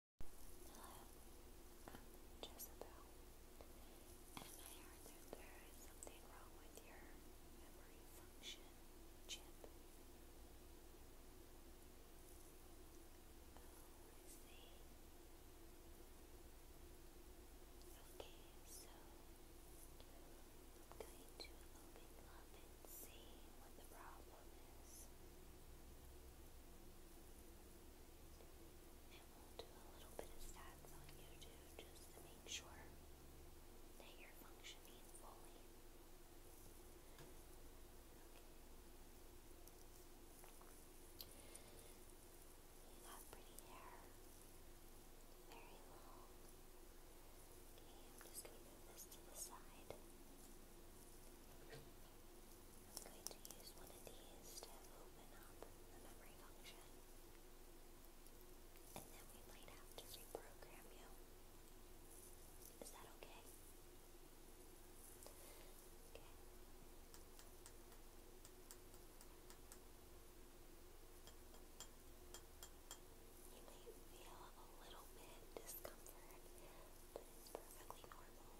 I'm Jezebel, and I heard that there is something wrong with your memory function chip. Okay, so I'm going to open up and see what the problem is. And we'll do a little bit of stats on you too, just to make sure that you're functioning fully. Okay. pretty hair. Very long. Okay, I'm just going to move this to the side. I'm going to use one of these to open up the memory function. And then we might have to reprogram you. Is that okay? Okay. You may feel a little bit discomfort, but it's perfectly normal.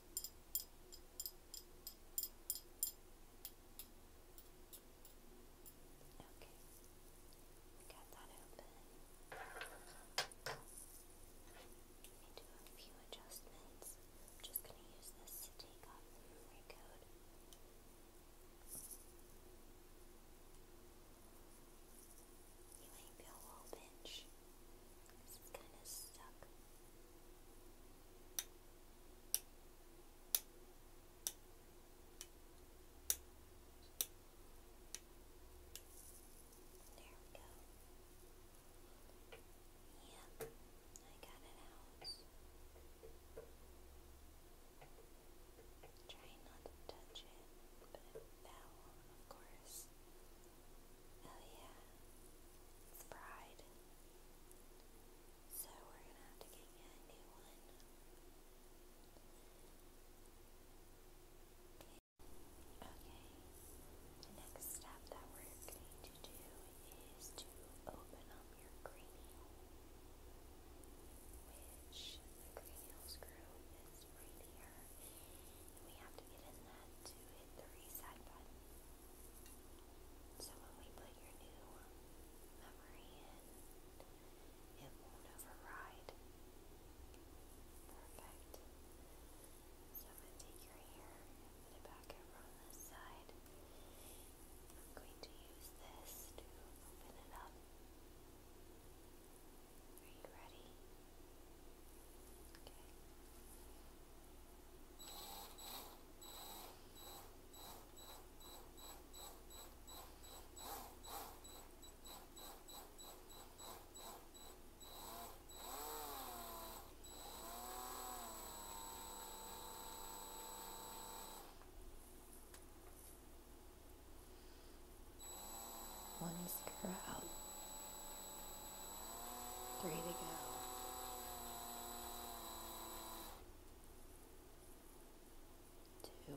Okay, got that open. Let me do a few adjustments. I'm just going to use this to take off the memory code. You might feel a little pinch. This is kind of stuck. There we go. Yep, I got it out. Try not to touch it, but it fell, of course. Oh yeah, it's pride. So we're gonna have to get you a new one. Okay, the next step that we're going to do is to open up your cranial, which the cranial screw just right here. we have to get in that to hit the button. So when we put your new memory in, it won't override. Perfect. So I'm going to take your hair and put it back over on this side. I'm going to use this to open it up. Are you ready? Okay. Okay. One stir out. Three to go. Two. Four.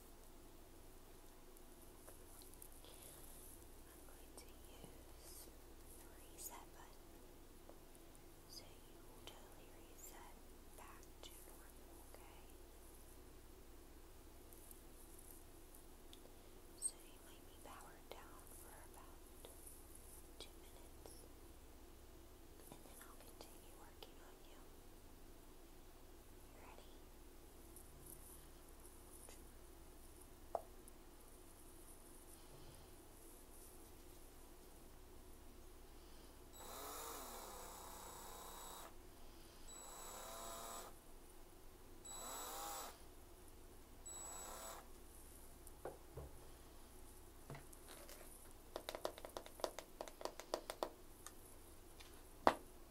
I'm going to use reset so you will totally reset back to normal, okay? So you might be down for about two minutes and then I'll continue working on you. Ready? Good.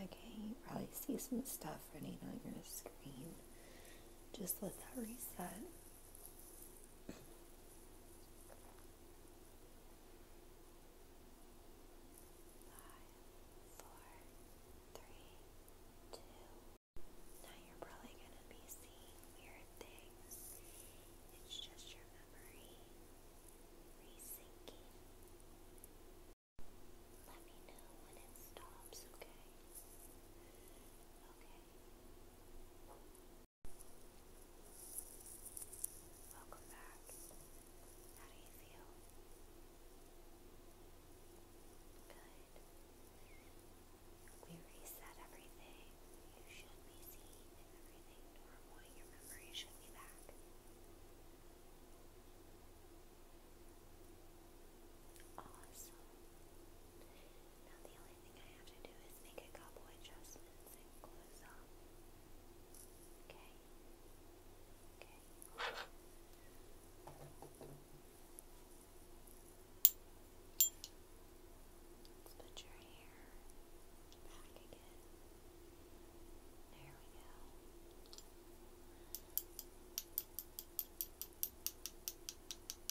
Okay, you probably see some stuff running on your screen. Just let that reset three, Now you're probably gonna be seeing weird things. It's just your memory resyncing. Let me know when it stops, okay? Okay. Welcome back. How do you feel? Good. We reset everything. You should be seeing everything normal. Your memory should be back. Awesome. Now the only thing I have to do is make a couple adjustments and close up. Okay. Okay. Let's put your hair back again. There we go. Okay.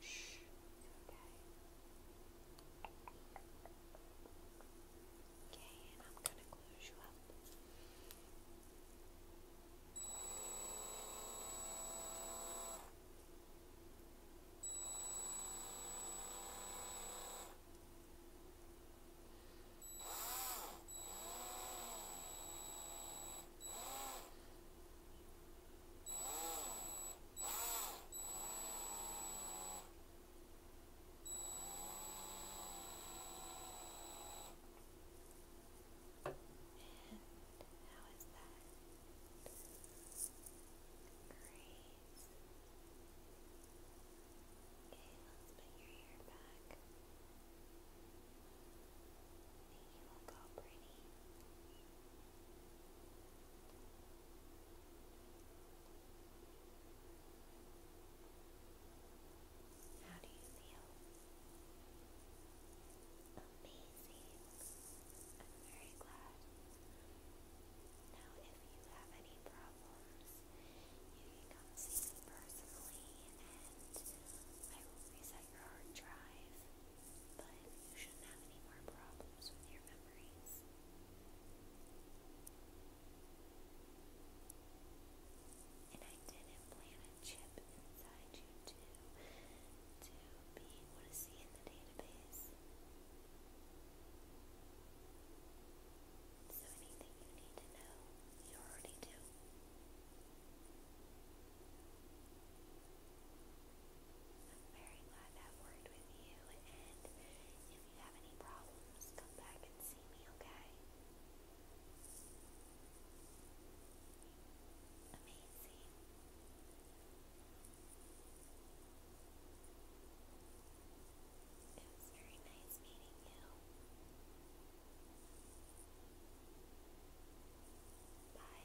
Shh, it's okay. Okay, and I'm gonna close you up. Okay, and Okay, let's put your hair back. you look all pretty. How do you feel? Amazing. I'm very glad. Now, if you have any problems, you can come see me personally and I will reset hard drive, but you shouldn't have any more problems with your memories. And I didn't a chip inside you to, to be able to see in the database. So anything you need to know, you already do. I'm very glad that worked with you, and if you have any problems, come back and see me, okay? Amazing. It was very nice meeting you. Bye.